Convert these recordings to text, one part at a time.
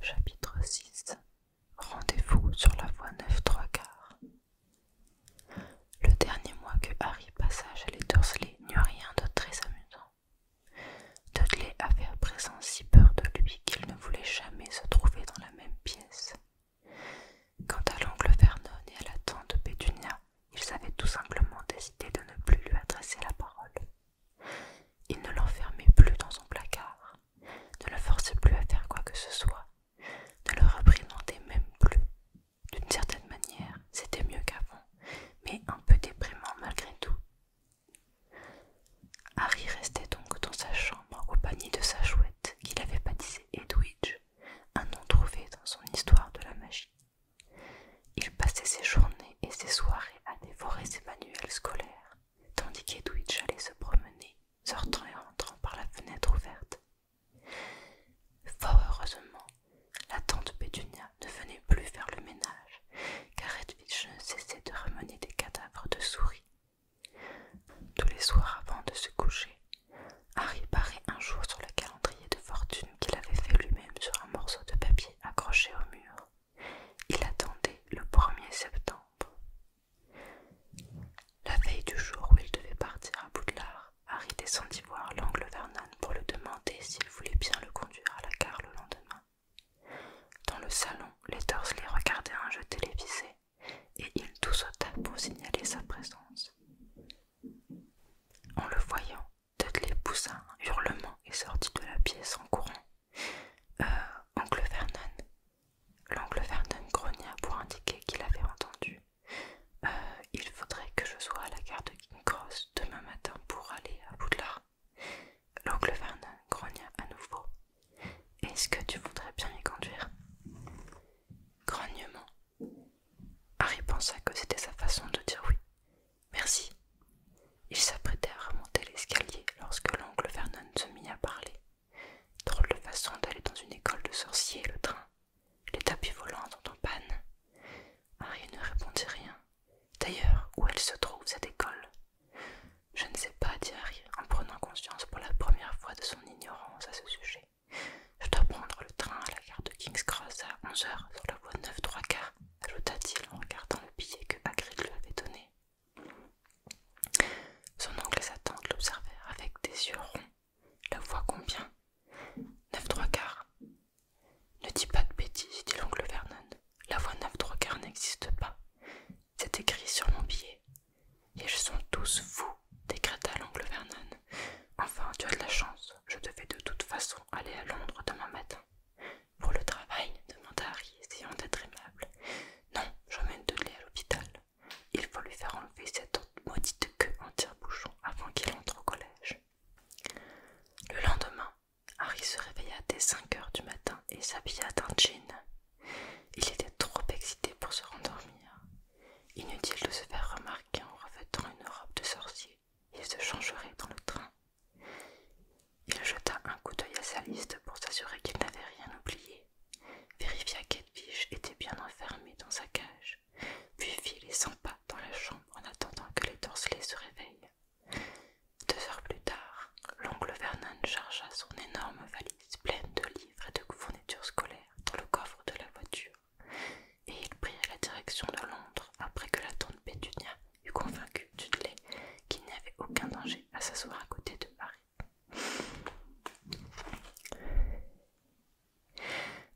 Chapitre 6 Rendez-vous sur la voie 9 3 quarts. Le dernier mois que Harry passa chez les Dursley a rien de très amusant. Dudley avait à présent si peur de lui qu'il ne voulait jamais se trouver dans la même pièce. Quant à l'oncle Vernon et à la tante Petunia, ils avaient tout simplement décidé de ne plus lui adresser la parole. Il ne l'enfermait plus dans son placard, ne le forçait plus à faire quoi que ce soit, ne le reprimandait même plus. D'une certaine manière, c'était mieux qu'avant, mais un peu déprimant malgré tout. Harry restait donc dans sa chambre au panier de sa chouette qu'il avait baptisée Edwidge, un nom trouvé dans son histoire de la magie. Il passait ses journées et ses soirées à dévorer ses manuels scolaires, tandis qu'Edwidge allait se promener, sortant et rentrant par la fenêtre ouverte. Fort heureusement, la tante Pétunia ne venait plus faire le ménage, car Edwidge ne cessait de ramener des cadavres de souris. Tous les soirs avant de se coucher, Harry parait un jour sur le calendrier de fortune qu'il avait fait lui-même sur un morceau de papier accroché au mur. Il attendait le 1er septembre. La veille du jour où il devait partir à Boudlard, Harry descendit voir l'angle Vernon pour le demander s'il voulait bien le conduire à la gare le lendemain. Dans le salon, les les regardaient un jeu télévisé et il tous pour signaler sa présence. En le voyant, Dudley poussa un hurlement et sortit de la pièce en courant. Euh, oncle Vernon. L'oncle Vernon grogna pour indiquer qu'il avait entendu. Euh, il faudrait que je sois à la gare de King Cross demain matin pour aller à Boudlard. L'oncle Vernon grogna à nouveau. Est-ce que tu voudrais bien m'y conduire Grognement. Harry pensa que c'était sa façon de dire oui. Merci, il s'apprêtait à remonter l'escalier lorsque l'oncle Vernon se mit à parler. Drôle de façon d'aller dans une école de sorciers, le train. Les tapis volants sont en panne. Harry ne répondit rien. D'ailleurs, où elle se trouve, cette école Je ne sais pas, dit Harry, en prenant conscience pour la première fois de son ignorance à ce sujet. Je dois prendre le train à la gare de King's Cross à 11 heures sur la voie 9 trois quarts, ajouta-t-il en regardant le billet que Hagrid lui avait donné. Son oncle et sa tante l'observèrent avec des yeux ronds. La voix combien Neuf trois quarts. Ne dis pas de bêtises, dit l'oncle Vernon. La voix neuf trois quarts n'existe pas. C'est écrit sur mon billet. Et je sont tous fous, décréta l'oncle Vernon. Enfin, tu as de la chance. Je devais de toute façon aller à Londres demain matin. Pour le travail demanda Harry, essayant d'être aimable. Non, j'emmène Dudley à l'hôpital. Il faut lui faire enlever cette maudite queue en tire-bouchon avant qu'il entre au collège. Le lendemain, Harry se réveilla dès 5 heures du matin et s'habilla d'un jean. Il était trop excité pour se rendormir. Inutile de se faire remarquer en revêtant une robe de sorcier. Il se changerait dans le train. Il jeta un coup d'œil à sa liste pour s'assurer qu'il n'avait rien oublié, vérifia qu'Edwige était bien enfermé dans sa cage, puis fit les cent pas dans la chambre en attendant que les torselets se réveillent. Deux heures plus tard, l'oncle Vernon chargea son énorme valise pleine de livres et de fournitures scolaires dans le coffre de la voiture, et ils prirent la direction de Londres après que la tante Pétunia eut convaincu Dudley qu'il n'y avait aucun danger à s'asseoir à côté de Harry.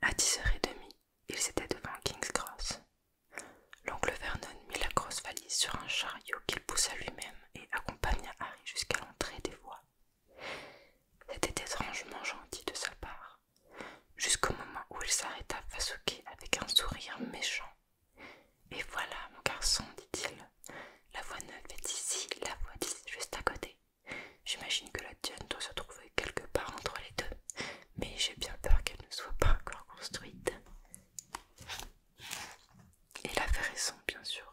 À 10h30, ils étaient devant King's Cross. L'oncle Vernon mit la grosse valise sur un chariot qu'il poussa lui-même et accompagna Harry jusqu'à l'entrée des voies. C'était étrangement gentil de sa part, jusqu'au moment où il s'arrêta face au quai avec un sourire méchant et voilà, mon garçon, dit-il. La voie neuve est ici, la voie juste à côté. J'imagine que la tienne doit se trouver quelque part entre les deux, mais j'ai bien peur qu'elle ne soit pas encore construite. Il avait raison, bien sûr.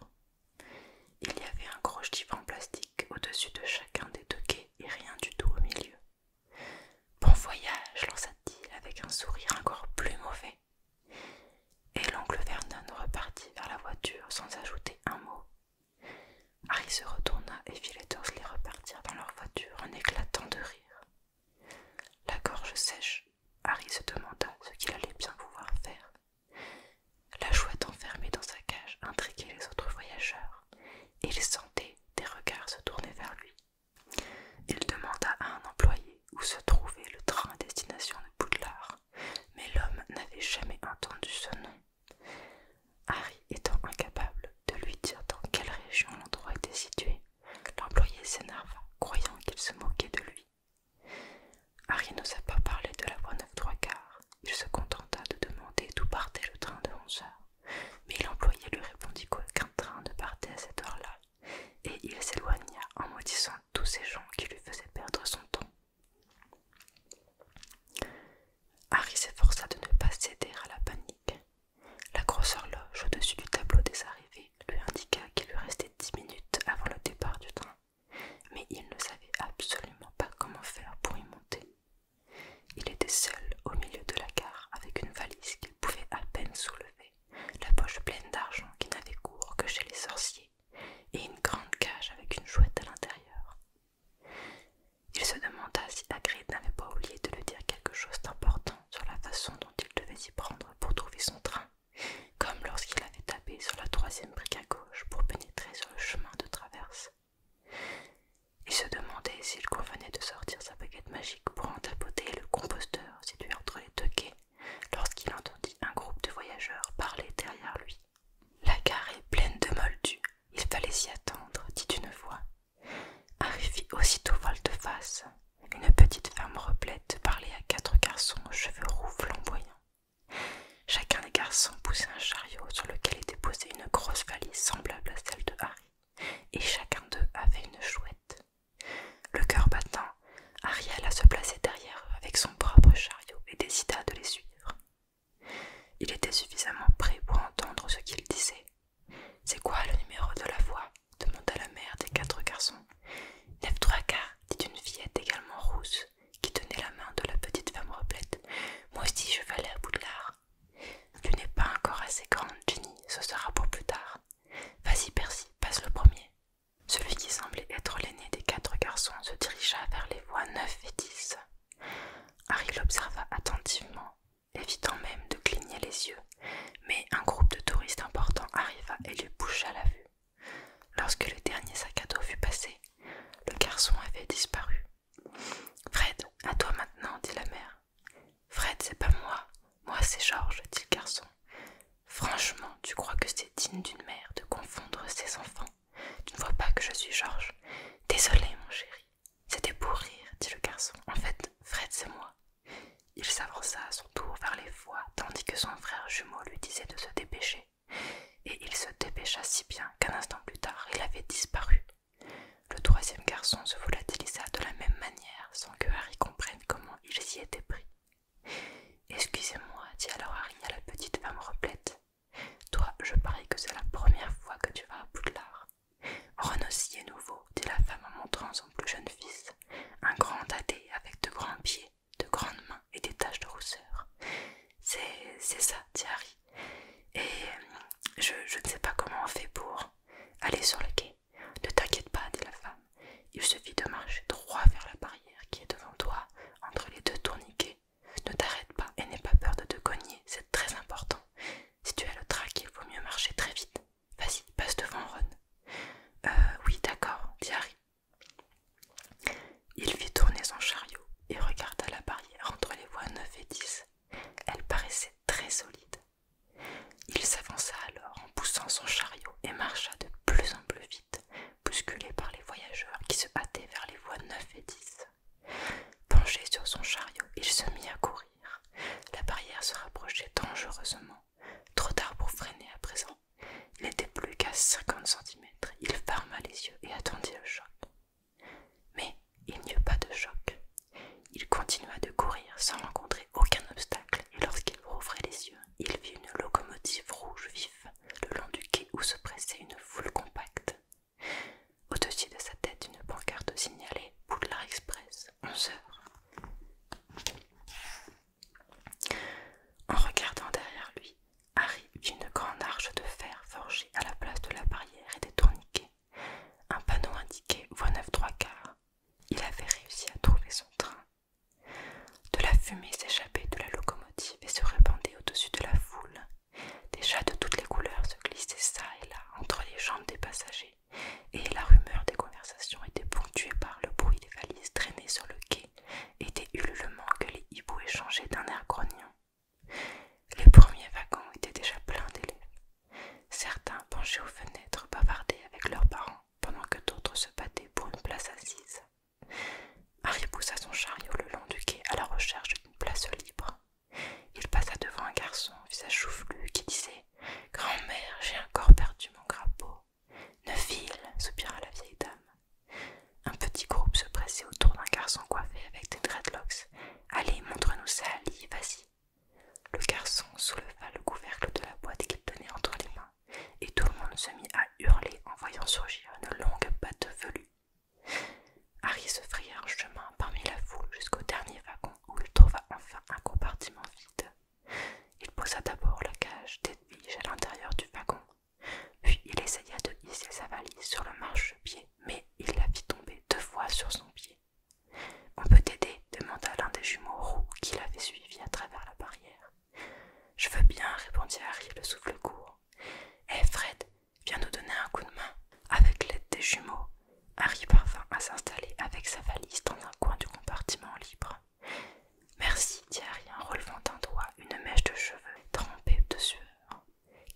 Il y avait un gros divan en plastique au-dessus de chacun des deux quais et rien du tout au milieu. Bon voyage, lança-t-il avec un sourire encore plus mauvais. Et l'oncle Vernon repartit vers la voiture sans ajouter un mot. Harry se retourna et fit les les repartir dans leur voiture en éclatant de rire. La gorge sèche, Harry se demanda ce qu'il allait bien pouvoir faire. La chouette enfermée dans sa cage intriguait les autres voyageurs, et il sentait des regards se tourner vers lui il demanda à un employé où se trouvait le train à destination de Poudlard, mais l'homme n'avait jamais entendu ce nom. Harry étant incapable de lui dire dans quelle région l'endroit était situé, l'employé s'énerva, croyant qu'il se moquait de lui. Harry n'osa pas parler de la voie 9 trois quarts. Il se contenta de demander d'où partait le train de 11 heures, mais l'employé lui répondit qu'aucun train ne partait à cette heure-là et il s'éloigna en maudissant tous ces gens qui lui faisaient perdre son temps. Harry s'efforça de ne pas céder à la panique. La grosse horloge au-dessus du tableau des arrivées lui indiqua qu'il lui restait dix minutes avant le départ du train, mais il ne savait absolument pas comment faire pour y monter. Il était seul au milieu de la gare avec une valise qu'il pouvait à peine soulever la poche pleine d'argent qui n'avait cours que chez les sorciers, et une grande cage avec une chouette à l'intérieur. Il se demanda si Hagrid n'avait pas oublié de lui dire quelque chose d'important sur la façon dont il devait s'y prendre pour trouver son train, comme lorsqu'il avait tapé sur la troisième brique à gauche pour pénétrer sur le chemin de traverse. Il se demandait s'il convenait de sortir sa baguette magique pour en tapoter le composteur situé entre les deux quais lorsqu'il entendit un groupe de voyageurs parler derrière lui. La gare est pleine de moldus, il fallait s'y attendre, dit une voix. Harry fit aussitôt de face une petite femme replète parlait à quatre garçons aux cheveux roux flamboyants. Chacun des garçons poussait un chariot sur lequel était posée une grosse valise semblable à celle de Harry, et chacun d'eux avait une chouette. Le cœur battant, Ariel se placé derrière eux avec son propre chariot et décida de les suivre. Il était suffisamment prêt pour entendre ce qu'ils disaient « C'est quoi le numéro de la voix demanda la mère des quatre garçons. Neuf trois quarts, dit une fillette également rousse, qui tenait la main de la petite femme replète. Moi aussi je vais aller à Boudlard. Tu n'es pas encore assez grande, Jenny, ce sera pour plus tard. Vas-y, Percy, passe le premier. Celui qui semblait être l'aîné des quatre garçons se dirigea vers les voies 9 et 10. Harry l'observa attentivement, évitant même de cligner les yeux, mais un groupe de touristes importants arriva et lui boucha la vue. Lorsque le dernier sac à dos fut passé, le garçon avait disparu. Fred, à toi maintenant, dit la mère. Fred, c'est pas moi. Moi, c'est Georges, dit le garçon. Franchement, tu crois que c'est digne d'une mère de confondre ses enfants Tu ne vois pas que je suis Georges Désolé, mon chéri. C'était pour rire, dit le garçon. En fait, Fred, c'est moi. Il s'avança à son tour vers les foies, tandis que son frère jumeau lui disait de se dépêcher. Et il se dépêcha si bien qu'un instant plus tard, il avait disparu. Le troisième garçon se volatilisa de la même manière, sans que Harry comprenne comment il s'y était pris. Excusez-moi, dit alors Harry à la petite femme replète. Toi, je parie que c'est la première fois que tu vas à Poudlard. Ron nouveau, dit la femme en montrant son plus jeune fils, un grand dadé avec de grands pieds, de grandes mains et des taches de rousseur. C'est ça, dit Harry. Et euh, je, je ne sais pas comment on fait pour aller sur le quai. Ne t'inquiète pas, dit la femme. Il suffit de marcher droit vers la barrière qui est devant toi, entre les deux tourniquets. Ne t'arrête pas et n'aie pas peur de te cogner, c'est très important. Si tu as le trac, il vaut mieux marcher très vite. Vas-y, passe devant Ron. Euh, oui, d'accord, dit Harry. Il fit tourner son chariot et regarda la barrière entre les voies 9 et 10. Elle paraissait très solide, il s'avança alors en poussant son chariot et marcha de plus en plus vite, bousculé par les voyageurs qui se hâtaient vers les voies 9 et 10. Penché sur son chariot, il se mit à courir. La barrière se rapprochait dangereusement. Trop tard pour freiner à présent. Il n'était plus qu'à cinquante centimètres. Il ferma les yeux et attendit le choc. Mais il n'y eut pas de choc. Il continua de courir sans rencontrer aucun obstacle, et lorsqu'il rouvrait les yeux, il vit une locomotive rouge vif le long du quai où se pressait une foule compacte. Au-dessus de sa tête, une pancarte signalait Boulevard Express, 11 heures. En regardant derrière lui, Harry vit une grande arche de fer forgée à la place de la barrière et des tourniquets. Un panneau indiquait voie neuf 3 quarts, il avait réussi à trouver son train. De la fumée s'échappait de la locomotive et se répandait au-dessus de la foule. Des chats de toutes les couleurs se glissaient çà et là entre les jambes des passagers, et la rumeur des conversations était ponctuée par le bruit des valises traînées sur le quai et des ululements que les hiboux échangeaient d'un air grognon. Les premiers wagons étaient déjà pleins d'élèves, Certains penchés aux fenêtres bavardaient avec leurs parents pendant que d'autres se battaient pour une place assise. Harry poussa son chariot le long du quai à la recherche d'une place libre. Il passa devant un garçon, visage choufflu, qui disait Grand-mère, j'ai encore perdu mon crapaud. file !» soupira la vieille dame. Un petit groupe se pressait autour d'un garçon coiffé avec des dreadlocks. Allez, montre-nous ça, Ali, vas-y, le garçon souleva le couvercle de la boîte qu'il tenait entre les mains, et tout le monde se mit à hurler en voyant surgir une longue patte velue. Harry se fraya un chemin parmi la foule jusqu'au dernier wagon où il trouva enfin un compartiment vide. Il posa d'abord la cage d'Edwige à l'intérieur du wagon, puis il essaya de hisser sa valise sur le marchepied, mais il la fit tomber deux fois sur son pied. On peut t'aider demanda l'un des jumeaux roux qui l'avait suivi à travers la barrière. Je veux bien, répondit Harry, le souffle court. Hé eh, Fred, viens nous donner un coup de main. Avec l'aide des jumeaux, Harry parvint à s'installer avec sa valise dans un coin du compartiment libre. Merci, dit Harry en relevant d'un doigt une mèche de cheveux trempée de sueur.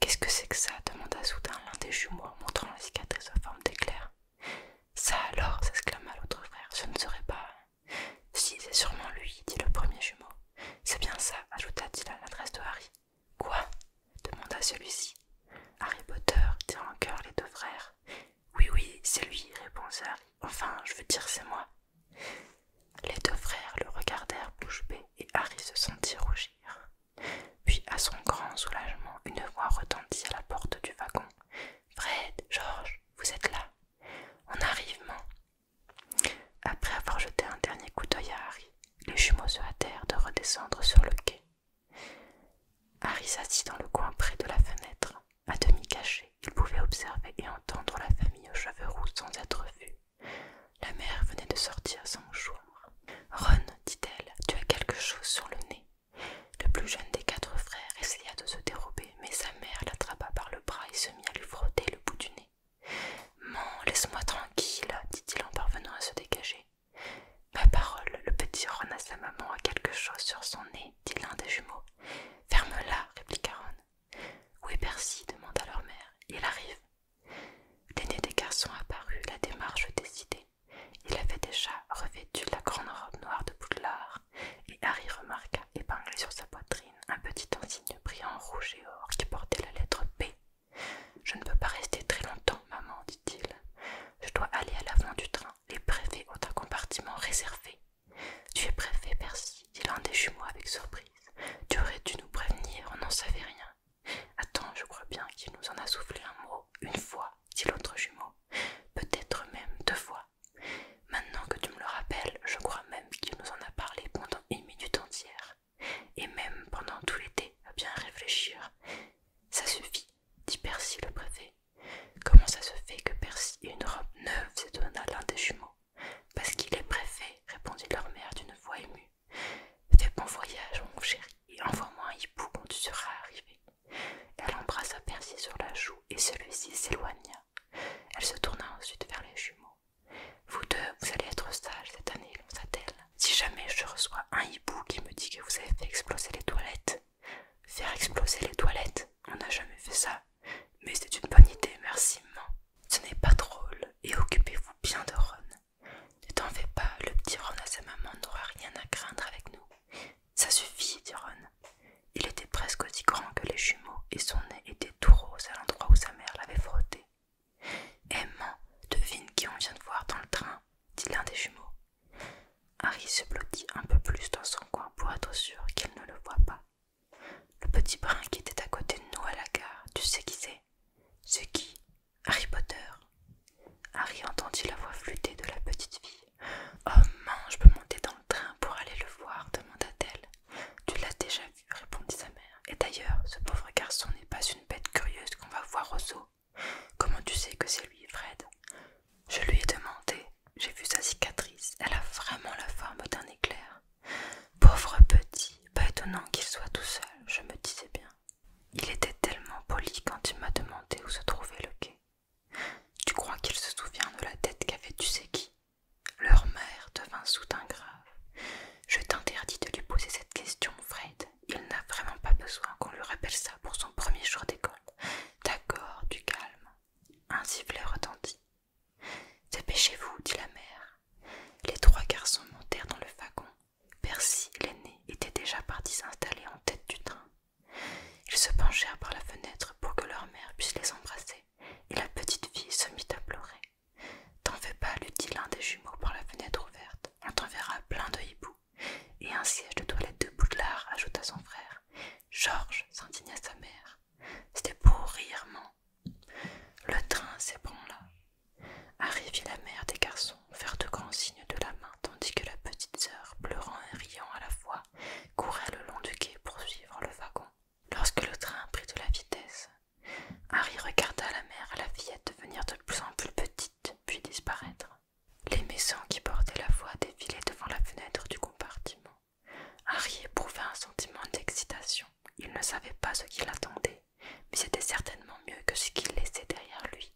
Qu'est-ce que c'est que ça demanda soudain l'un des jumeaux en montrant la cicatrice en forme d'éclair. Ça alors, s'exclama l'autre frère, ce ne serait pas. Si, c'est sûrement lui, dit le premier jumeau. C'est bien ça, ajouta-t-il à l'adresse de Harry. Quoi demanda celui-ci. Harry Potter, dit en cœur les deux frères. Oui, oui, c'est lui, répondit Harry. Enfin, je veux dire, c'est moi. Les deux frères le regardèrent bouche bée et Harry se sentit rougir. Puis, à son grand soulagement, une voix retentit à la porte du wagon. Fred, George, vous êtes là. On arrive, Après avoir jeté un dernier coup d'œil à Harry, les jumeaux se hâtèrent de redescendre sur le quai. Harry s'assit dans le coin près de la fenêtre. À demi caché, il pouvait observer et entendre la famille aux cheveux roux sans être vu. La mère venait de sortir sans jour. « Ron, dit-elle, tu as quelque chose sur le nez. Le plus jeune des quatre frères essaya de se dérober, mais sa mère l'attrapa par le bras et se mit à lui frotter le bout du nez. Maman, laisse-moi tranquille, dit-il en parvenant à se dégager. Ma parole, le petit Ron sa maman a quelque chose sur son nez, dit l'un des jumeaux. Ferme-la, répliqua Ron. Où est Percy demanda leur mère. Il arrive. L'aîné des garçons apparut, la démarche décidée. Il avait déjà revêtu la grande robe noire de Poudlard, et Harry remarqua épinglé sur sa poitrine un petit insigne brillant rouge et or qui portait la lettre P. Je ne peux pas rester très longtemps, maman, dit-il. Je dois aller à l'avant du train. Les préfets ont un compartiment réservé. Tu es préfet, Percy, dit l'un des jumeaux avec surprise. Tu aurais dû nous prévenir, on n'en savait rien. Attends, je crois bien qu'il nous en a soufflé un mot une fois, dit l'autre jumeau, peut-être même deux fois. Maintenant que tu me le rappelles, je crois même qu'il nous en a parlé pendant une minute entière, et même pendant tout l'été, à bien réfléchir. Ça suffit, dit Percy le préfet. Comment ça se fait que Percy ait une robe neuve s'étonna l'un des jumeaux. Parce qu'il est préfet, répondit leur mère d'une voix émue. Fais bon voyage, mon chéri, et envoie-moi un hibou quand tu seras arrivé. Elle embrassa Percy sur la joue et celui-ci s'éloigna. Elle se tourna ensuite vers les jumeaux. Vous deux, vous allez être sages cette année, lança-t-elle. Si jamais je reçois un hibou qui me dit que vous avez fait exploser les toilettes. Faire exploser les toilettes On n'a jamais fait ça. Mais c'est une bonne idée, merci, maman. Ce n'est pas drôle et occupez-vous bien de Ron. Ne t'en fais pas, le petit Ron à sa maman n'aura rien à craindre avec nous. Ça suffit, dit Ron. Il était presque aussi grand que les jumeaux et son nez était tout rose à l'endroit où sa mère l'avait frotté. Aimant, devine qui on vient de voir dans le train, dit l'un des jumeaux. Harry se blottit un peu plus dans son coin pour être sûr qu'il ne le voit pas. Le petit brin qui était à côté de nous à la gare, tu sais qui c'est C'est qui Harry Potter, Harry entendit la voix flûtée de la petite fille. Oh mange, je peux monter dans le train pour aller le voir, demanda-t-elle. Tu l'as déjà vu, répondit sa mère. Et d'ailleurs, ce pauvre garçon n'est pas une bête curieuse qu'on va voir au zoo. Comment tu sais que c'est lui, Fred Je lui ai demandé. J'ai vu sa cicatrice. Elle a vraiment la forme d'un éclair. Pauvre petit, pas étonnant qu'il soit tout seul, je me disais bien. Il était tellement poli quand il m'a demandé où se trouvait le quai. Tu crois qu'il se souvient de la tête qu'avait tu sais qui Leur mère devint soudain grave. Je t'interdis de lui poser cette question, Fred. Il n'a vraiment pas besoin qu'on lui rappelle ça pour son premier jour d'école. D'accord, du calme. Un sifflet retentit. Dépêchez-vous, dit la mère. Les trois garçons montèrent dans le wagon. Percy, l'aîné, était déjà parti s'installer en tête du train. Ils se penchèrent par la fenêtre pour que leur mère puisse les embrasser, et la petite fille se mit à pleurer. T'en fais pas, lui dit l'un des jumeaux par la fenêtre ouverte, on t'enverra plein de hiboux. Et un siège de toilette de Boudlard, ajouta son frère. Georges s'indigna sa mère. C'était pour rire, Le train s'ébranla. Harry la mère des garçons faire de grands signes de la main tandis que la petite sœur, pleurant et riant à la fois, courait le long du quai pour suivre le wagon. Lorsque le train prit de la vitesse, Harry regarda la mère et la fillette devenir de plus en plus petites puis disparaître. Les maisons qui bordaient la voie défilaient devant la fenêtre du compartiment. Harry éprouvait un sentiment d'excitation. Il ne savait pas ce qu'il attendait, mais c'était certainement mieux que ce qu'il laissait derrière lui.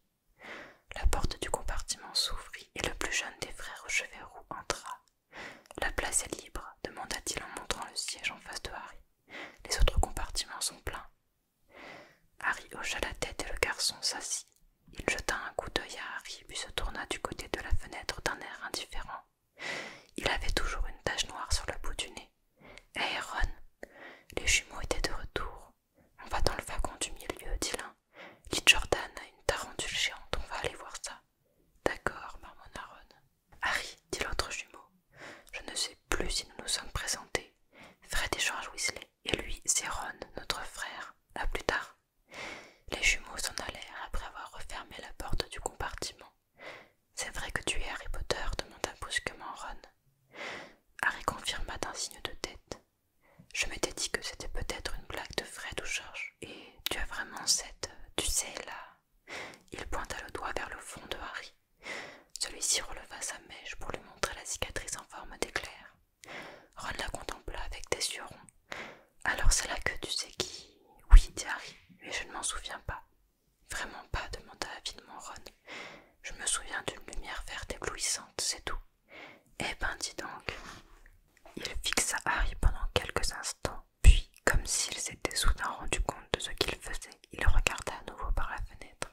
La porte du compartiment s'ouvrit et le plus jeune des frères roux entra. La place est libre, demanda-t-il en montrant le siège en face de Harry. Les autres compartiments sont pleins. Harry hocha la tête et le garçon s'assit. Il jeta un coup d'œil à Harry puis se tourna du côté de la fenêtre d'un air indifférent. Il avait toujours une tache noire sur le bout du nez. aaron les jumeaux étaient de retour. On va dans le wagon du milieu, dit l'un. Dit Jordan a une tarentule géante, on va aller voir ça. D'accord, marmonna Ron. Harry, dit l'autre jumeau. Je ne sais plus si nous nous sommes présentés. Fred et George Weasley. Et lui, c'est Ron, notre frère. À plus tard. Les jumeaux s'en allèrent après avoir refermé la porte du compartiment. C'est vrai que tu es Harry Potter demanda brusquement Ron. Harry confirma d'un signe de tête. Je m'étais dit que c'était peut-être une blague de Fred ou George. Et tu as vraiment cette. Tu sais, là. Il pointa le doigt vers le fond de Harry. Celui-ci releva sa mèche pour lui montrer la cicatrice en forme d'éclair. Ron la contempla avec des yeux ronds. Alors c'est là que tu sais qui. Oui, dit Harry, mais je ne m'en souviens pas. Vraiment pas, demanda avidement Ron. Je me souviens d'une lumière verte éblouissante, c'est tout. Eh ben dis donc. Il fixa Harry pendant quelques instants, puis, comme s'il s'était soudain rendu compte de ce qu'il faisait, il regarda à nouveau par la fenêtre.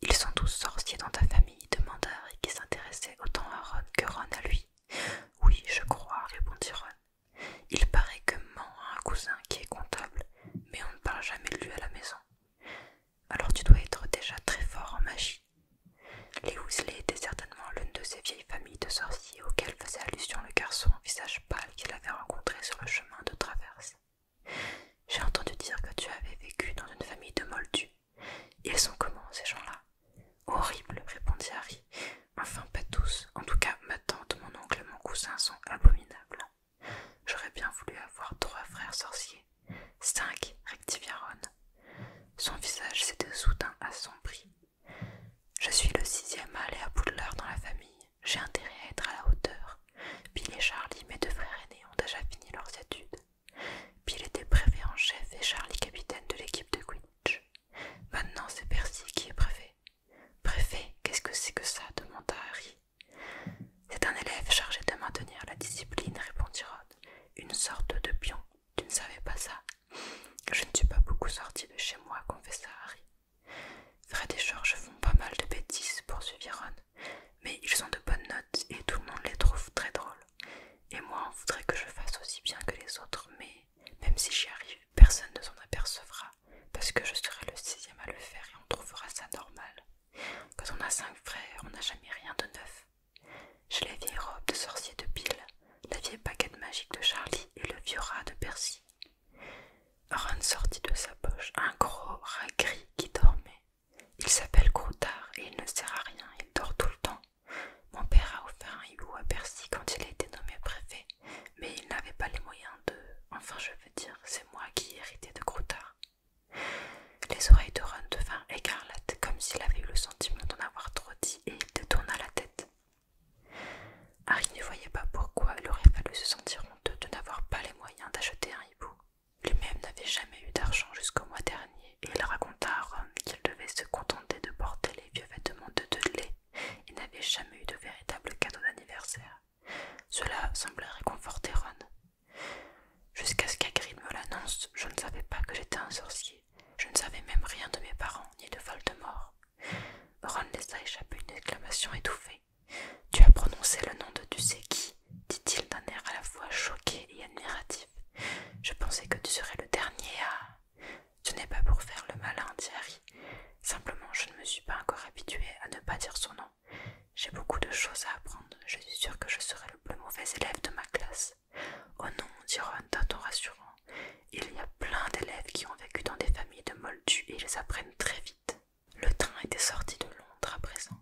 Ils sont tous sorciers dans ta famille demanda Harry qui s'intéressait autant à Ron que Ron à lui. Oui, je crois, répondit Ron. Il paraît que Man a un cousin qui est comptable, mais on ne parle jamais de lui à la maison alors tu dois être déjà très fort en magie. Les Weasley étaient certainement l'une de ces vieilles familles de sorciers auxquelles faisait allusion le garçon au visage pâle qu'il avait rencontré sur le chemin de traverse. J'ai entendu dire que tu avais vécu dans une famille de moldus. Ils sont comment, ces gens-là Horribles, répondit Harry. Enfin, pas tous. En tout cas, ma tante, mon oncle et mon cousin sont abominables. J'aurais bien voulu avoir trois frères sorciers. Cinq, rectifia Son visage s'était soudain assombri. Je suis le sixième à aller à l'heure dans la famille. J'ai intérêt à être à la hauteur. Bill et Charlie, mes deux frères aînés, ont déjà fini leurs études. Bill était préfet en chef et Charlie capitaine de l'équipe de Quinch. Maintenant, c'est Percy qui est préfet. Préfet, qu'est-ce que c'est que ça demanda Harry. C'est un élève chargé de maintenir la discipline, répondit Rod. Une sorte de pion. Tu ne savais pas ça Je ne suis pas beaucoup sortie de chez moi, confessa Harry. Fred et George font pas mal de bêtises, poursuivit Ron. Mais ils ont de bonnes notes et tout le monde les trouve très drôles. Et moi, on voudrait que je fasse aussi bien que les autres, mais même si j'y arrive, personne ne s'en apercevra, parce que je serai le sixième à le faire et on trouvera ça normal. Quand on a cinq frères, on n'a jamais rien de neuf. J'ai la vieille robe de sorcier de Bill, la vieille baguette magique de Charlie et le vieux rat de Percy. Ron sortit de sa poche un gros rat gris qui dormait. Il s'appelle Croutard et il ne sert à rien, il dort tout le temps. Mon père a offert un hibou à Percy quand il a été nommé préfet, mais il n'avait pas les moyens de. Enfin, je veux dire, c'est moi qui ai hérité de Croutard. Les oreilles de Ron devinrent écarlates, comme s'il avait eu le sentiment d'en avoir trop dit, et il détourna la tête. Harry ne voyait pas pourquoi il aurait fallu se sentir honteux de n'avoir pas les moyens d'acheter un hibou. Lui-même n'avait jamais eu d'argent jusqu'au mois dernier, et il raconta à Ron qu'il devait se contenter de porter les vieux vêtements de Dudley et n'avait jamais eu de véritable cadeau d'anniversaire. Cela semblait réconforter Ron, Jusqu'à ce qu'Agrid me l'annonce, je ne savais pas que j'étais un sorcier. Je ne savais même rien de mes parents ni de Voldemort. Ron laissa échapper une exclamation étouffée. Tu as prononcé le nom de tu sais qui, dit-il d'un air à la fois choqué et admiratif. Je pensais que tu serais le dernier à. Ce n'est pas pour faire le malin, Thierry. Simplement, je ne me suis pas encore habitué à ne pas dire son nom. J'ai beaucoup de choses à apprendre. Je suis sûr que je serai le plus mauvais élève de ma classe. Oh non, dit Ron d'un ton rassurant. Il y a plein d'élèves qui ont vécu dans des familles de moldus et ils apprennent très vite. Le train était sorti de Londres à présent.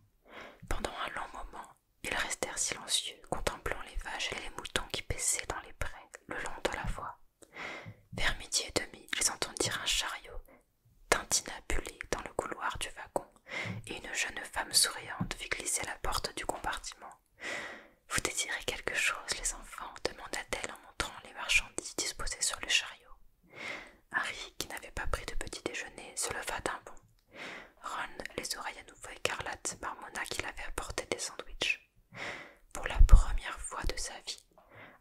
Pendant un long moment, ils restèrent silencieux, contemplant les vaches et les moutons qui paissaient dans les prés le long de la voie. Vers midi et demi, ils entendirent un chariot pulit dans le couloir du wagon et une jeune femme souriante vit glisser la porte du compartiment. Vous désirez quelque chose, les enfants demanda-t-elle en montrant les marchandises disposées sur le chariot. Harry, qui n'avait pas pris de petit déjeuner, se leva d'un bond. Ron, les oreilles à nouveau écarlates, marmonna qu'il avait apporté des sandwiches. Pour la première fois de sa vie,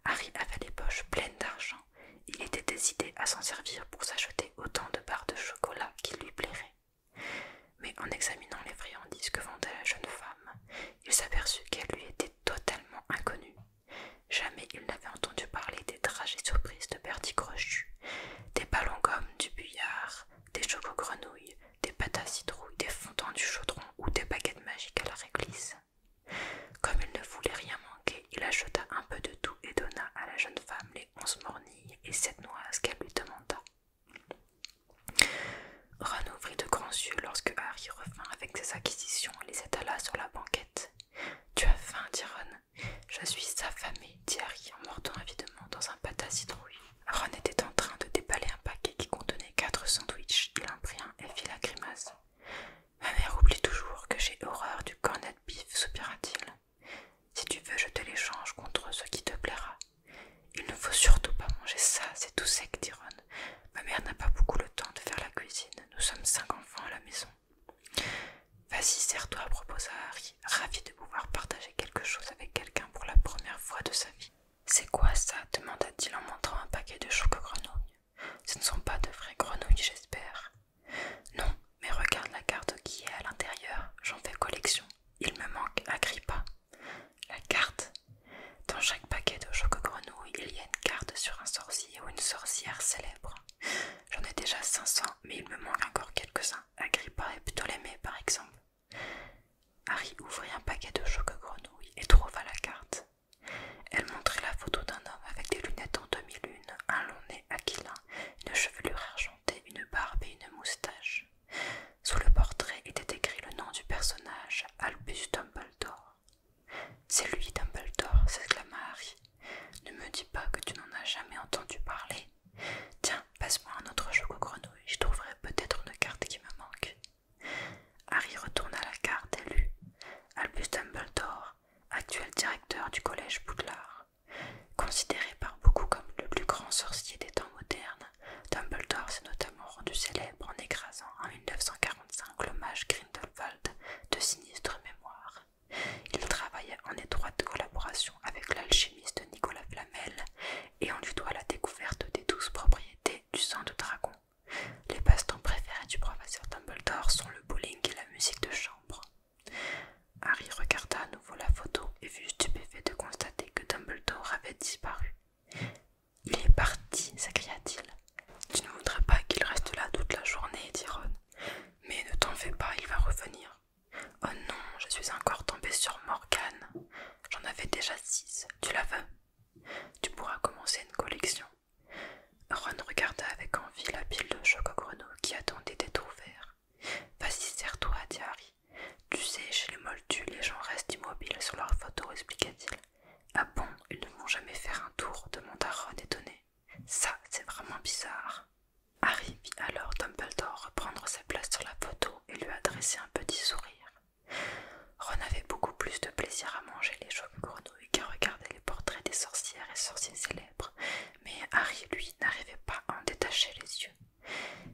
Harry avait les poches pleines d'argent il était décidé à s'en servir pour s'acheter autant de barres de chocolat qu'il lui plairait. Mais en examinant les friandises que vendait la jeune femme, il s'aperçut qu'elle lui était totalement inconnue. Jamais il n'avait entendu parler des trajets surprises de Bertie Crochet, des ballons gommes du billard, des choco-grenouilles, des pâtes à citrouille, des fondants du chaudron ou des baguettes magiques à la réglisse. Comme il ne voulait rien manquer, il acheta un peu de tout et donna à la jeune femme les onze mornilles et sept noix qu'elle lui demanda. Ron ouvrit de grands yeux lorsque Harry revint avec ses acquisitions et les étala sur la banquette. Tu as faim, dit Ron. Je suis affamé, dit Harry en mordant avidement dans un pâte citrouille. Ron était en train de déballer un paquet qui contenait quatre sandwichs. Il en prit un et fit la grimace. Ma mère oublie toujours que j'ai horreur du cornet beef, soupira-t-il. Si tu veux, je te l'échange contre ce qui te plaira. Il ne faut surtout pas manger ça, c'est tout sec, dit Ron. Ma mère n'a pas beaucoup le temps de faire la cuisine. Nous sommes cinq enfants à la maison. Vas-y, sers-toi, proposa Harry, ravi de pouvoir partager quelque chose avec quelqu'un pour la première fois de sa vie. C'est quoi ça demanda-t-il en montrant un paquet de chocs grenouilles. Ce ne sont pas de vraies grenouilles, j'espère. Non, mais regarde la carte qui est à l'intérieur, j'en fais collection. Il me manque Agrippa. La carte Dans chaque paquet de choco-grenouilles, il y a une carte sur un sorcier ou une sorcière célèbre. J'en ai déjà 500, mais il me manque encore quelques-uns. Agrippa et Ptolémée, par exemple. Harry ouvrit un paquet de choco-grenouilles et trouva la carte. Elle montrait la photo d'un homme avec des lunettes en demi-lune, un long nez aquilin, une chevelure argentée, une barbe et une moustache. Sous le portrait était écrit le nom du personnage, Albus Dumbledore. C'est lui, Dumbledore, s'exclama Harry. Ne me dis pas que tu n'en as jamais entendu parler. Tiens, passe-moi un autre choc au grenouilles, je trouverai peut-être une carte qui me manque. Harry retourna la carte et lut Albus Dumbledore, actuel directeur du collège Boudlard, Considéré par beaucoup comme le plus grand sorcier des temps modernes, Dumbledore s'est notamment rendu célèbre en écrasant en 1945 l'hommage Grindelwald de sinistre mémoire. Il travaillait en étroite collaboration avec l'alchimiste Nicolas Flamel et on lui doit la découverte des douze propriétés du sang de dragon. Les passe-temps préférés du professeur Dumbledore sont le bowling et la musique de chambre. Harry regarda à nouveau la photo et fut stupéfait de constater que Dumbledore avait disparu. Il est parti, s'écria-t-il. Tu ne voudrais pas qu'il reste là toute la journée, dit Ron. Mais ne t'en fais pas, il va revenir. Oh non, je suis encore tombée sur Morgane. J'en avais déjà six. Tu la veux Tu pourras commencer une collection. Ron regarda avec envie la pile de choc qui attendait d'être ouverte. Vas-y, serre-toi, dit Harry. Tu sais, chez les Moldus, les gens restent immobiles sur leurs photos, expliqua-t-il. Ah bon, ils ne vont jamais faire un tour demanda Ron étonné. Ça, c'est vraiment bizarre. Harry vit alors Dumbledore reprendre sa place sur la photo et lui adresser un petit sourire. Ron avait beaucoup plus de plaisir à manger les chocs grenouilles qu'à regarder les portraits des sorcières et sorciers mais Harry, lui, n'arrivait pas à en détacher les yeux.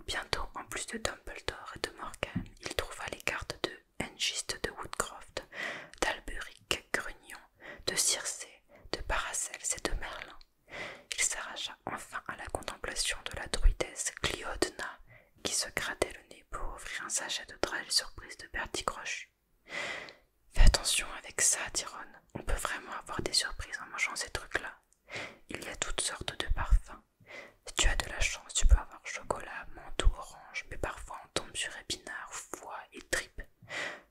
Bientôt, en plus de Dumbledore et de Morgan, il trouva les cartes de Hengist de Woodcroft, d'Alberic Grunion, de Circe, de Paracels et de Merlin. Il s'arracha enfin à la contemplation de la druidesse Cliodna, qui se grattait le nez pour offrir un sachet de trail surprise de Bertie Crochu. Fais attention avec ça, dit Ron. On peut vraiment avoir des surprises en mangeant ces trucs-là. Il y a toutes sortes de parfums. Si tu as de la chance, tu peux avoir chocolat, manteau, orange, mais parfois on tombe sur épinards, foie et tripes.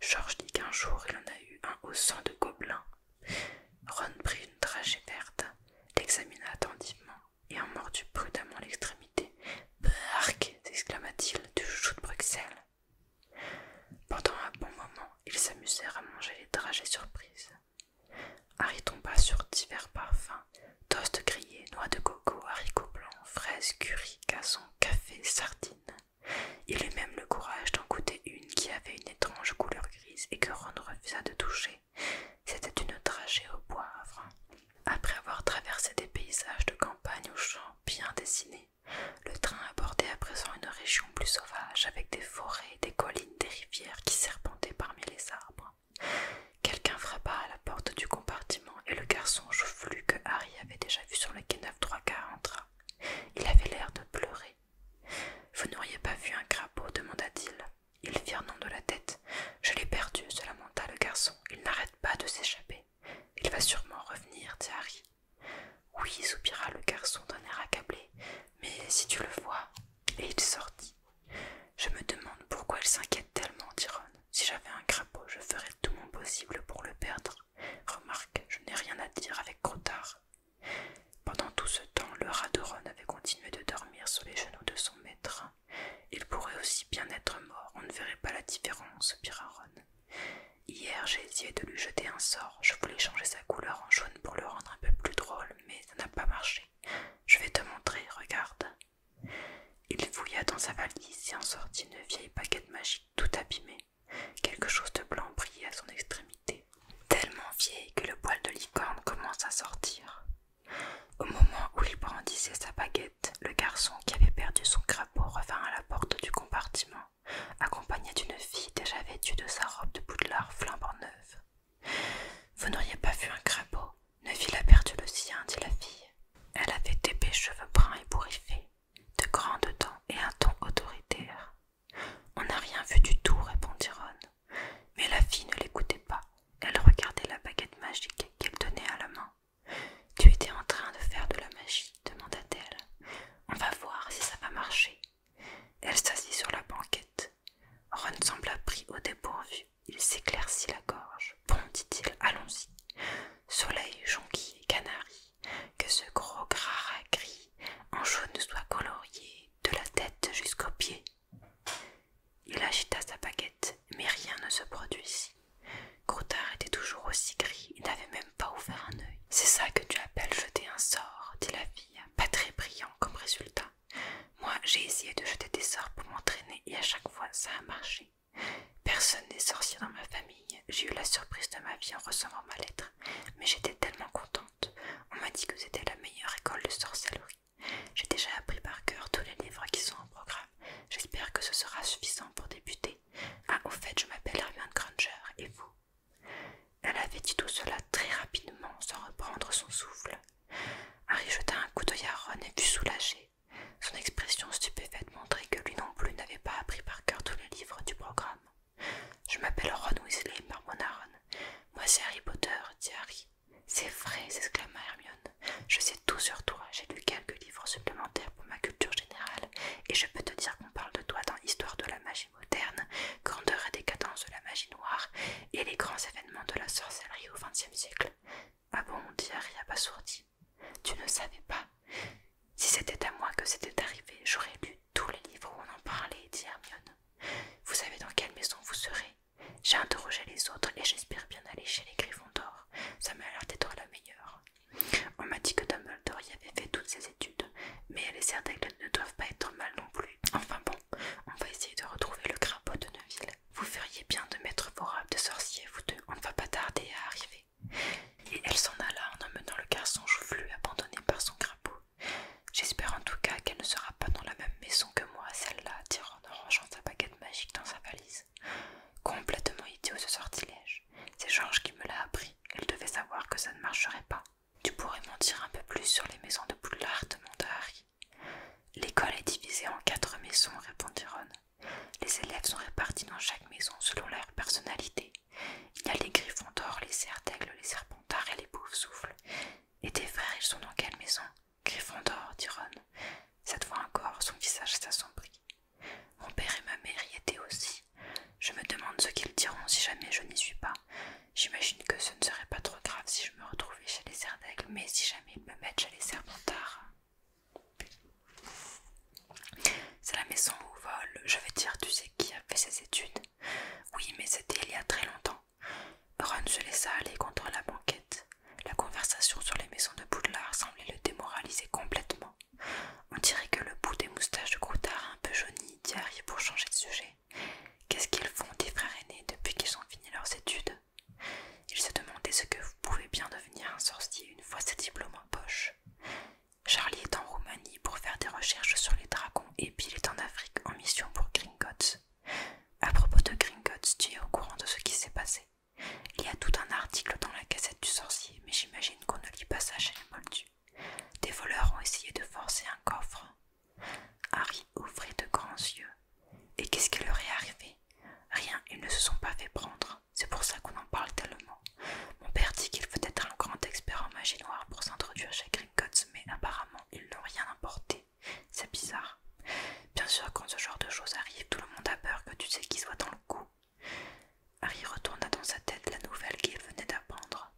George dit qu'un jour il en a eu un au sang de gobelin. Ron prit une trachée verte, l'examina attentivement et en mordit prudemment l'extrémité. Bark s'exclama-t-il, du chou de Bruxelles. Pendant un bon moment, ils s'amusèrent à manger les dragées surprises. Harry tomba sur divers parfums toast grillé, noix de coco, haricots blancs, fraises, curry, casson, café, sardines. Il eut même le courage d'en goûter une qui avait une étrange couleur grise et que Ron refusa de toucher. C'était une dragée au poivre. Après avoir traversé des paysages de campagne aux champs bien dessinés, le train abordait à présent une région plus sauvage, avec des forêts, des collines, des rivières qui serpentaient parmi les arbres. Quelqu'un frappa à la porte du compartiment et le garçon joufflu que Harry avait déjà vu sur le quai 9 quarts entra. Il avait l'air de pleurer. Vous n'auriez pas vu un crapaud demanda-t-il. Ils firent nom de la tête. Je l'ai perdu, se lamenta le garçon. Il n'arrête pas de s'échapper. Il va sûrement revenir, dit Harry. Oui, soupira le garçon d'un air accablé, mais si tu le vois. Et il sortit. Je me demande pourquoi il s'inquiète tellement, dit Si j'avais un crapaud, je ferais tout mon possible pour le perdre. Remarque, je n'ai rien à dire avec Crotard. Pendant tout ce temps, le rat de Ron avait continué de dormir sur les genoux de son maître. Il pourrait aussi bien être mort, on ne verrait pas la différence, soupira Ron. Hier, j'ai essayé de lui jeter un sort. Je voulais changer sa couleur en jaune pour le rendre un peu plus drôle, mais ça n'a pas marché. Je vais te montrer, regarde. Il fouilla dans sa valise et en sortit une vieille baguette magique tout abîmée. Quelque chose de blanc brillait à son extrémité, tellement vieille que le poil de licorne commence à sortir. Au moment où il brandissait sa baguette, le garçon qui avait perdu son crapaud revint à la porte du compartiment, accompagné d'une fille déjà vêtue de sa robe de boudelard flambant neuve. Vous n'auriez pas vu un crapaud, Neville a perdu le sien, dit la fille. Elle avait d'épais cheveux bruns et bourriffés, de grandes dents et un ton autoritaire. On n'a rien vu du tout, répondit Ron. Mais la fille ne l'écoutait pas, elle regardait la baguette magique qu'elle tenait à la main. Tu étais en train de faire de la magie, demanda-t-elle. On va voir si ça va marcher. Elle s'assit sur la banquette. Ron sembla pris au dépourvu. Il s'éclaircit la gorge. Bon, dit-il, allons-y. Soleil, jonquille et canari, que ce gros gras gris en jaune soit colorié de la tête jusqu'aux pieds. Il agita sa baguette, mais rien ne se produisit. Groutard était toujours aussi gris, il n'avait même pas ouvert un œil. C'est ça que tu appelles jeter un sort, dit la fille, pas très brillant comme résultat. Moi, j'ai essayé de jeter des sorts pour m'entraîner et à chaque fois ça a marché. Personne n'est sorcier dans ma famille, j'ai eu la surprise de ma vie en recevant ma lettre, mais j'étais tellement contente. On m'a dit que c'était la meilleure école de sorcellerie. J'ai déjà appris par cœur tous les livres qui sont en programme. J'espère que ce sera suffisant pour débuter ah, au fait, je m'appelle Hermione Granger, et vous Elle avait dit tout cela très rapidement, sans reprendre son souffle. Harry jeta un coup d'œil à Ron et fut soulagé. Son expression stupéfaite montrait que lui non plus n'avait pas appris par cœur tous les livres du programme. Je m'appelle Ron Weasley, marmonna Ron. Moi, c'est Harry Potter, dit Harry. C'est vrai, s'exclama Hermione. Je sais tout sur toi, j'ai lu quelques livres supplémentaires pour ma culture générale, et je peux te dire qu'on parle de toi dans l'histoire de la magie moderne, grandeur et décadence de la magie noire, et les grands événements de la sorcellerie au XXe siècle. Ah bon, y a pas sourdie. « Tu ne savais pas. Si c'était à moi que c'était arrivé, j'aurais lu tous les livres où on en parlait, dit Hermione. Vous savez dans quelle maison vous serez J'ai interrogé les autres et j'espère bien aller chez les Griffons d'Or. Ça m'a l'air d'être la meilleure. On m'a dit que Dumbledore y avait fait toutes ses études, mais elle est certaine qu'elles ne doivent pas être mal non plus. Enfin bon, on va essayer de retrouver le crapaud de Neuville. Vous feriez bien de mettre vos robes de sorcier, vous deux, on ne va pas tarder à arriver. Et elle s'en alla en emmenant le garçon joufflu abandonné par son crapaud. J'espère en tout cas qu'elle ne sera pas dans la même maison que moi, celle-là, tirant en rangeant sa baguette magique dans sa valise. Complètement idiot ce sortilège. C'est Georges qui me l'a appris. Elle devait savoir que ça ne marcherait pas. Tu pourrais mentir un peu plus sur les maisons de Poudlard demanda Harry. L'école est divisée en quatre maisons, répondit Ron. Les élèves sont répartis dans chaque maison selon leur personnalité. Il y a les griffons d'or, les d'Aigle, les serpentards et les Poufsouffles. Et tes frères, ils sont dans quelle maison Griffon d'or, dit Ron. Cette fois encore, son visage s'assombrit. Mon père et ma mère y étaient aussi. Je me demande ce qu'ils diront si jamais je n'y suis pas. J'imagine que ce ne serait pas trop grave si je me retrouvais chez les Serdaigle, mais si jamais ils me mettent chez les Serpentards. C'est la maison où vole, je veux dire, tu sais qui a fait ses études. Oui, mais c'était il y a très longtemps. Ron se laissa aller contre la banquette. La conversation sur les maisons de Boudelard semblait le démoraliser complètement. On dirait que le bout des moustaches de Croutard un peu jauni, dit pour changer de sujet. Qu'est-ce qu'ils font tes frères aînés depuis qu'ils ont fini leurs études Il se demandé ce que vous pouvez bien devenir un sorcier une fois ses diplômes en poche. Charlie est en Roumanie pour faire des recherches sur les dragons et Bill est en Afrique en mission pour Gringotts. À propos de Gringotts, tu es au courant de ce qui s'est passé il y a tout un article dans la cassette du sorcier, mais j'imagine qu'on ne lit pas ça chez les Moldus. Des voleurs ont essayé de forcer un coffre. Harry ouvrit de grands yeux. Et qu'est-ce qui leur est arrivé Rien, ils ne se sont pas fait prendre. C'est pour ça qu'on en parle tellement. Mon père dit qu'il faut être un grand expert en magie noire pour s'introduire chez Gringotts, mais apparemment ils n'ont rien importé. C'est bizarre. Bien sûr, quand ce genre de choses arrive, tout le monde a peur que tu sais qui soit dans le coup. Harry retourna dans sa tête la nouvelle qu'il venait d'apprendre.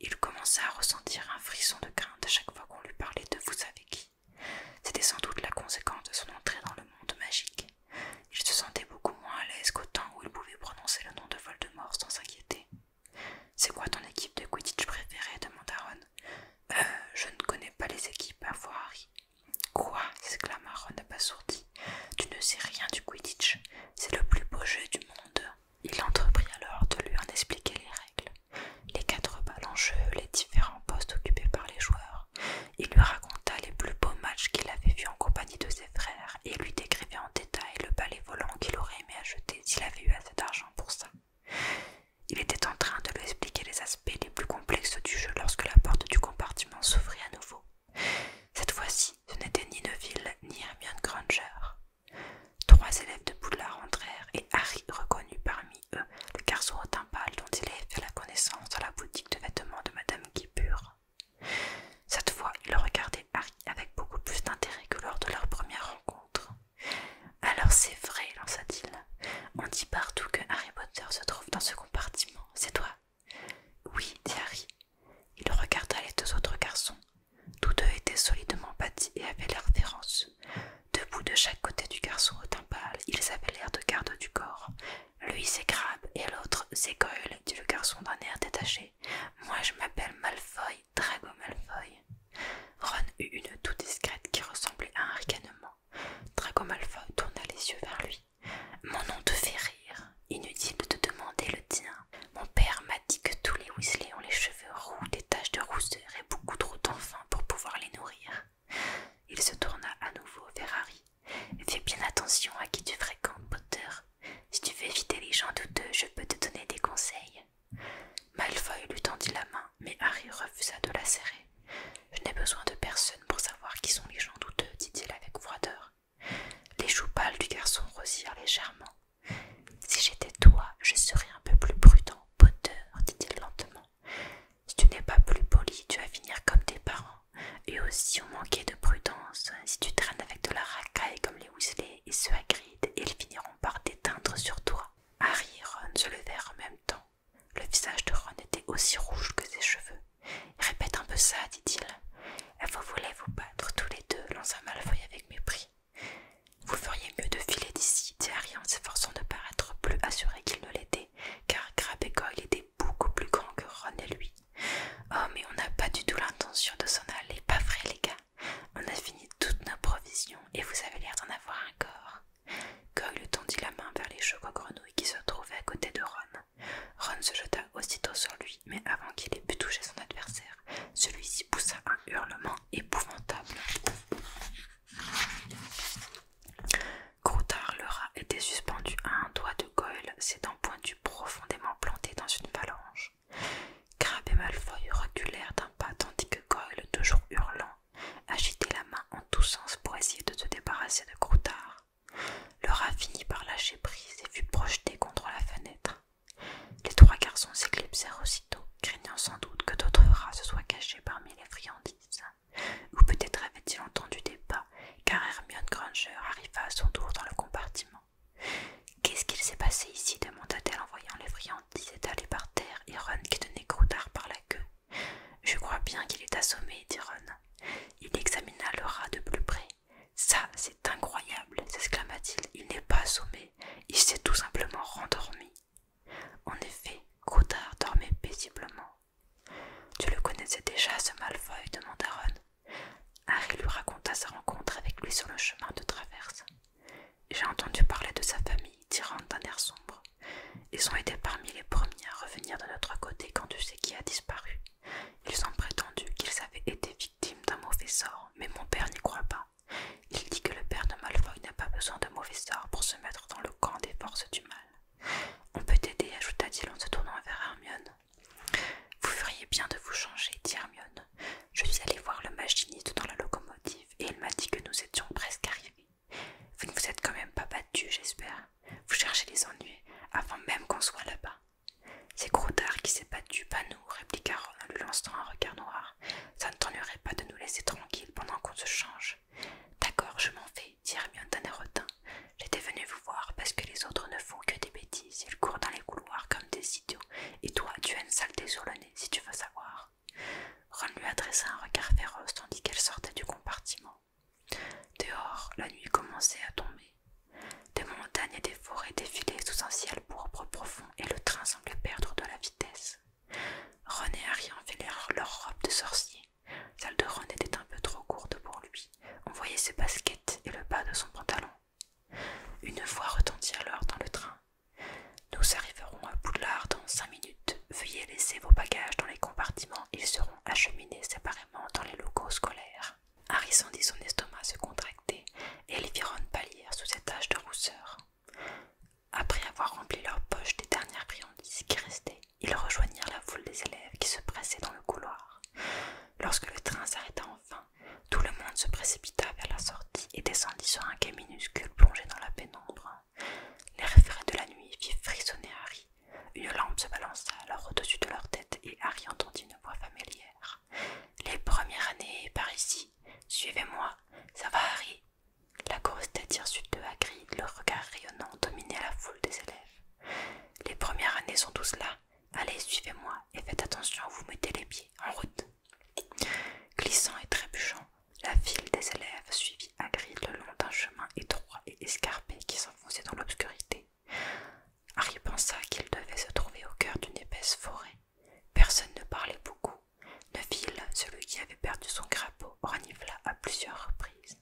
Il commença à ressentir un frisson de crainte à chaque fois qu'on lui parlait de vous savez qui. C'était sans doute la conséquence de son entrée dans le monde magique. Il se sentait beaucoup moins à l'aise qu'au temps où il pouvait prononcer le nom de Voldemort sans s'inquiéter. C'est quoi ton équipe de Quidditch préférée demanda Ron. Euh, je ne connais pas les équipes, à voir Harry. Quoi s'exclama Ron abasourdi. Tu ne sais rien du Quidditch. C'est le plus beau jeu du monde. Il entreprit alors de lui en expliquer les règles, les quatre balles en jeu, les différents postes occupés par les joueurs. Il lui raconta les plus beaux matchs qu'il avait vus en compagnie de ses frères et lui décrivait en détail le balai volant qu'il aurait aimé acheter s'il avait eu assez d'argent pour ça. Il était en train de lui expliquer les aspects les plus complexes du jeu lorsque la porte du compartiment s'ouvrit à nouveau. Cette fois-ci, ce n'était ni Neville ni Hermione Granger. Trois élèves de Poudlard entrèrent et Harry reconnut parmi eux le garçon au teint pâle dont il avait fait la connaissance dans la boutique de vêtements de Madame Guipure. Cette fois, il regardait Harry avec beaucoup plus d'intérêt que lors de leur première rencontre. Alors c'est vrai, lança-t-il. On dit partout que Harry Potter se trouve dans ce compartiment, c'est toi oui, dit Harry. Il regarda les deux autres garçons. Tous deux étaient solidement bâtis et avaient l'air féroces. Debout de chaque côté du garçon au teint ils avaient l'air de garde du corps. Lui s'écrabe et l'autre Goyle, dit le garçon d'un air détaché. Moi je m'appelle Malfoy, Drago Malfoy. Ron eut une toux discrète qui ressemblait à un ricanement. Drago Malfoy tourna les yeux vers lui. Mon nom te fait rire. Inutile de te demander le tien. Mon père m'a dit que tous les Weasley ont les cheveux roux, des taches de rousseur et beaucoup trop d'enfants pour pouvoir les nourrir. Il se tourna à nouveau vers Harry. Fais bien attention à qui tu fréquentes, Potter. Si tu veux éviter les gens douteux, je peux te donner des conseils. Malfoy lui tendit la main, mais Harry refusa de la serrer. Je n'ai besoin de personne pour savoir qui sont les gens douteux, dit-il avec froideur. Les joues pâles du garçon rosirent légèrement. Si j'étais toi, je serais un peu plus prudent, poteur, dit-il lentement. Si tu n'es pas plus poli, tu vas finir comme tes parents. Et aussi on manquait de prudence. Si tu traînes avec de la racaille comme les Weasley et ceux à et ils finiront par t'éteindre sur toi. Harry et Ron se levèrent en même temps. Le visage de Ron était aussi rouge que ses cheveux. Répète un peu ça, dit-il. Vous voulez vous battre tous les deux, lança Malfoy avec mépris. Vous feriez mieux de filer d'ici, dit en s'efforçant de paraître plus assuré qu'il ne l'était, car et Goyle étaient beaucoup plus grands que Ron et lui. Oh, mais on n'a pas du tout l'intention de s'en aller, pas vrai, les gars On a fini toutes nos provisions et vous avez l'air d'en avoir encore. Goyle tendit la main vers les cheveux grenouilles qui se trouvaient à côté de Ron. Ron se jeta aussitôt sur lui, mais avant qu'il ait pu toucher son adversaire, celui-ci poussa un hurlement épouvantable. Croutard le rat était suspendu à un doigt de Goyle, ses dents pointues profondément plantées dans une phalange. Crab et Malfoy reculèrent d'un pas tandis que Goyle, toujours hurlant, agitait la main en tous sens pour essayer de se débarrasser de Croutard. Le rat finit par lâcher prise et fut projeté contre la fenêtre. Les trois garçons s'éclipsèrent aussitôt, craignant sans doute que d'autres rats se soient cachés parmi les friandises. Ou peut-être avaient-ils entendu des pas, car Hermione Granger arriva à son tour dans le compartiment. Qu'est-ce qu'il s'est passé ici demanda-t-elle en voyant les friandises étalées par terre et Ron qui tenait Groudard par la queue. Je crois bien qu'il est assommé, dit Ron. Il examina le rat de plus près. Ça, c'est incroyable, s'exclama-t-il. Il, n'est pas assommé, il s'est tout simplement rendormi. En effet, Coudard dormait paisiblement. Tu le connaissais déjà, ce Malfoy demanda Ron. Harry lui raconta sa rencontre avec lui sur le chemin de traverse. J'ai entendu parler de sa famille, Ron d'un air sombre. Ils ont été parmi les premiers à revenir de notre côté quand tu sais qui a disparu. Ils ont prétendu qu'ils avaient été victimes d'un mauvais sort, mais mon père n'y croit pas. Il dit que le père de Malfoy n'a pas besoin de mauvais sort pour se mettre dans le camp des forces du mal. On peut t'aider, ajouta-t-il en se tournant vers Hermione. Vous feriez bien de vous changer, dit Hermione. Je suis allée voir le machiniste dans la locomotive et il m'a dit que nous étions presque arrivés. Vous ne vous êtes quand même pas battu, j'espère. Vous cherchez les ennuis avant même qu'on soit là-bas. C'est Groudard qui s'est battu, pas nous, répliqua Ron en lui lançant un regard noir. Ça ne t'ennuierait pas de nous laisser tranquille pendant qu'on se change. D'accord, je m'en vais, dit Hermione d'un air J'étais venue vous voir parce que les autres ne font que des bêtises. Ils courent dans les couloirs comme des idiots. Et toi, tu as une saleté sur le nez, si tu veux savoir. Ron lui adressa un regard féroce tandis qu'elle sortait du compartiment. Dehors, la nuit commençait à tomber. Des montagnes et des forêts défilaient sous un ciel pourpre profond et le train semblait perdre de la vitesse. René et Harry enfilèrent leur robe de sorcier. Celle de René était un peu trop courte pour lui. On voyait ses baskets et le bas de son pantalon. Une voix retentit alors dans le train. Nous arriverons à Poudlard dans cinq minutes. Veuillez laisser vos bagages dans les compartiments, ils seront Acheminés séparément dans les locaux scolaires. Harry sentit son estomac se contracter et les virons pâlir sous cette taches de rousseur. Après avoir rempli leurs poches des dernières friandises qui restaient, ils rejoignirent la foule des élèves qui se pressaient dans le couloir. Lorsque le train s'arrêta enfin, tout le monde se précipita vers la sortie et descendit sur un quai minuscule plongé dans la pénombre. Les référents de la nuit firent frissonner Harry une lampe se balança alors au-dessus de leur tête et Harry entendit une voix familière. Les premières années par ici. Suivez-moi. Ça va, Harry La grosse tête hirsute de Agri, le regard rayonnant, dominait la foule des élèves. Les premières années sont tous là. Allez, suivez-moi et faites attention vous mettez les pieds. En route. Glissant et trébuchant, la file des élèves suivit Agri le long d'un chemin étroit et escarpé qui s'en dans l'obscurité. Harry pensa qu'il devait se trouver au cœur d'une épaisse forêt. Personne ne parlait beaucoup. Neville, celui qui avait perdu son crapaud, renivela à plusieurs reprises.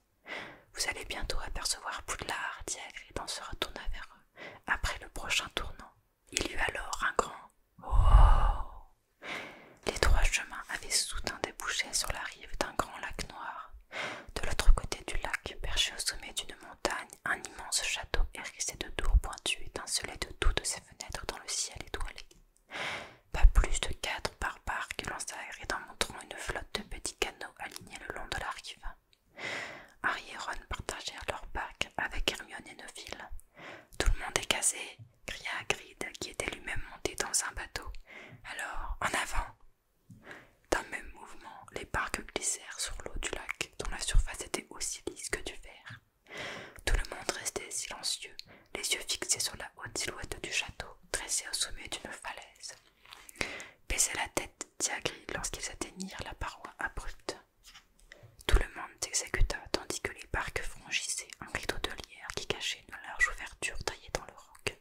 Vous allez bientôt apercevoir Poudlard, dit et en se retourna vers eux, après le prochain tournant. Il y eut alors un grand Oh Les trois chemins avaient soudain débouché sur la rive d'un grand lac noir. De l'autre côté du lac, perché au sommet d'une montagne, un immense château hérissé de tours pointues étincelait de toutes ses fenêtres dans le ciel étoilé. Pas plus de quatre barbares que Agride en montrant une flotte de petits canots alignés le long de la rive. Harry et Ron partagèrent leur parc avec Hermione et Neville. Tout le monde est casé, cria Hagrid, qui était lui-même monté dans un bateau. Alors, en avant d'un même mouvement, les barques glissèrent sur l'eau du lac, dont la surface était aussi lisse que du verre. Tout le monde restait silencieux, les yeux fixés sur la haute silhouette du château, dressée au sommet d'une falaise. Baissait la tête Diagri lorsqu'ils atteignirent la paroi abrupte. Tout le monde s'exécuta tandis que les barques franchissaient un rideau de lierre qui cachait une large ouverture taillée dans le roc.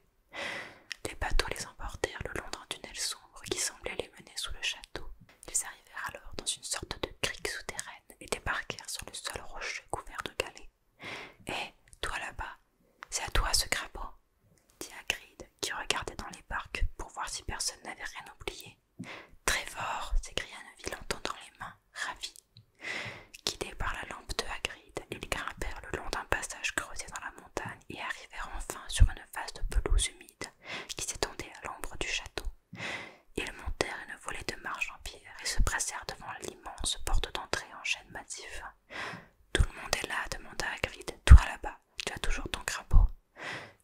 Les bateaux les emportèrent le long d'un tunnel sombre qui semblait les mener sous le château. Ils arrivèrent alors dans une sorte de crique souterraine et débarquèrent sur le sol rocheux couvert de galets. Hé, toi là-bas, c'est à toi ce crapaud dit Hagrid, qui regardait dans les barques pour voir si personne n'avait rien oublié. Très fort s'écria Neville en tendant les mains, ravie Guidés par la lampe de Hagrid, ils grimpèrent le long d'un passage creusé dans la montagne et arrivèrent enfin sur une face de pelouse humide qui s'étendait à l'ombre du château. Ils montèrent une volée de marches en pierre et se pressèrent devant l'immense porte d'entrée en chêne massif. Tout le monde est là, demanda Hagrid. Toi là-bas, tu as toujours ton crapaud.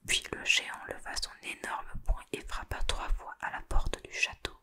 Puis le géant leva son énorme poing et frappa trois fois à la porte du château.